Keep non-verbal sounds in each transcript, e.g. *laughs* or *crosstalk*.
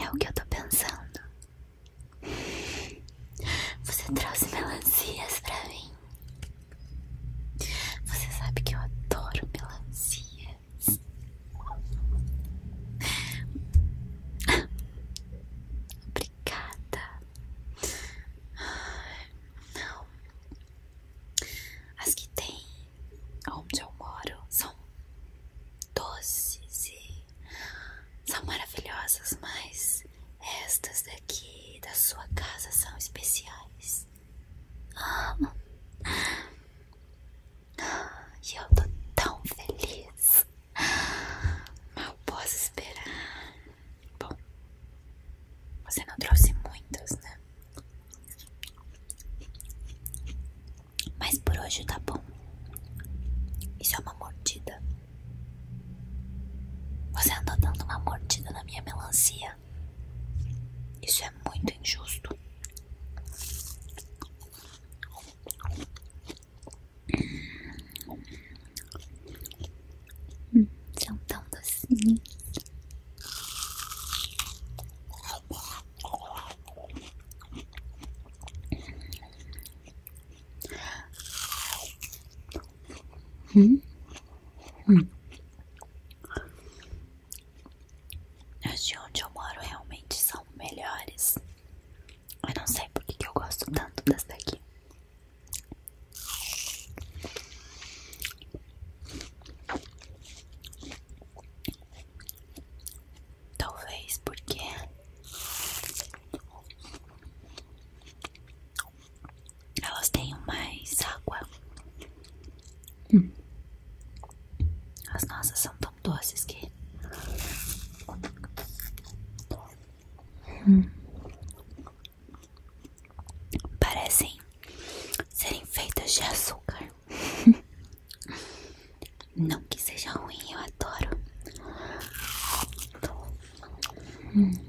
É o que eu estou pensando. Você trouxe melancias para mim. Você sabe que eu adoro melancia. Obrigada. Não. As que tem onde eu moro são doces e são maravilhosas, mas estas daqui da sua casa são especiais. E eu tô tão feliz. Mal posso esperar. Bom, você não trouxe muitas, né? Mas por hoje tá bom. Isso é uma mordida. Você andou dando uma mordida na minha melancia. Isso é muito injusto. Hum, são tão docinhos. Hum? Hum. As de onde eu moro realmente são melhores. Eu não sei porque que eu gosto tanto dessa daqui. Talvez porque elas têm mais água. Hum. As nossas são tão doces que. Hum. Parecem serem feitas de açúcar. *laughs* Não que seja ruim, eu adoro. Hum.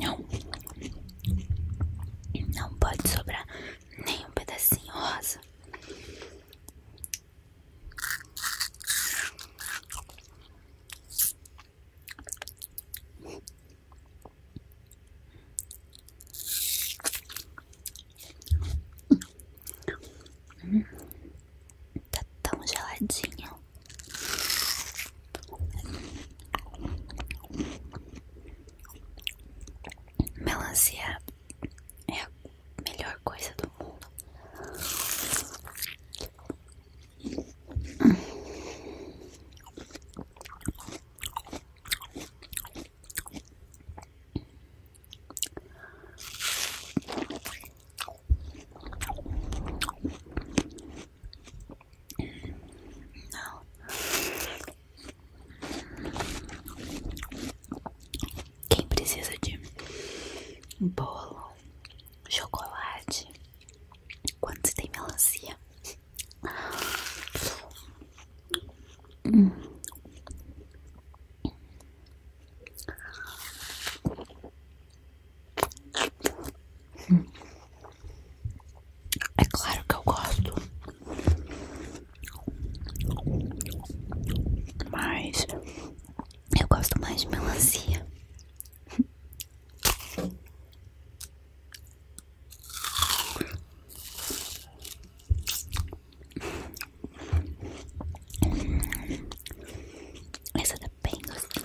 Não, não pode sobrar nenhum pedacinho rosa. Tá tão geladinho Melancia é a melhor coisa do mundo. Não. Quem precisa de bolo, chocolate, quando se tem melancia? É claro que eu gosto, mas eu gosto mais de melancia. Essa tá bem gostosa.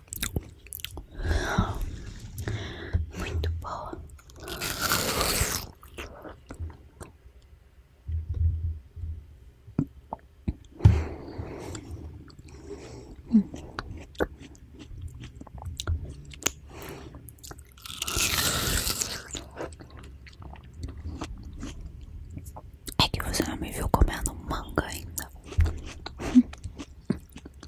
Muito boa. É que você não me viu comendo manga ainda.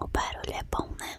O barulho é bom, né?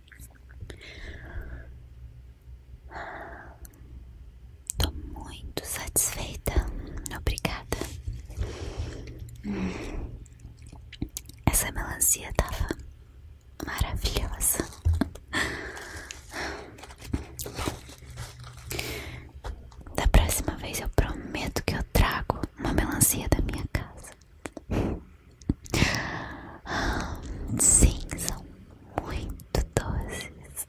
Tô muito satisfeita. Obrigada. Essa melancia tava maravilhosa. Da próxima vez eu prometo que eu trago uma melancia da minha casa. Sim, são muito doces.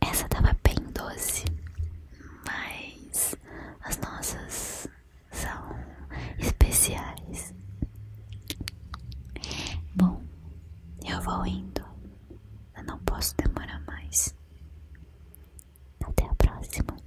Essa tava bem doce, mas as nossas são especiais. Bom, eu vou indo. Eu não posso demorar mais. Até a próxima.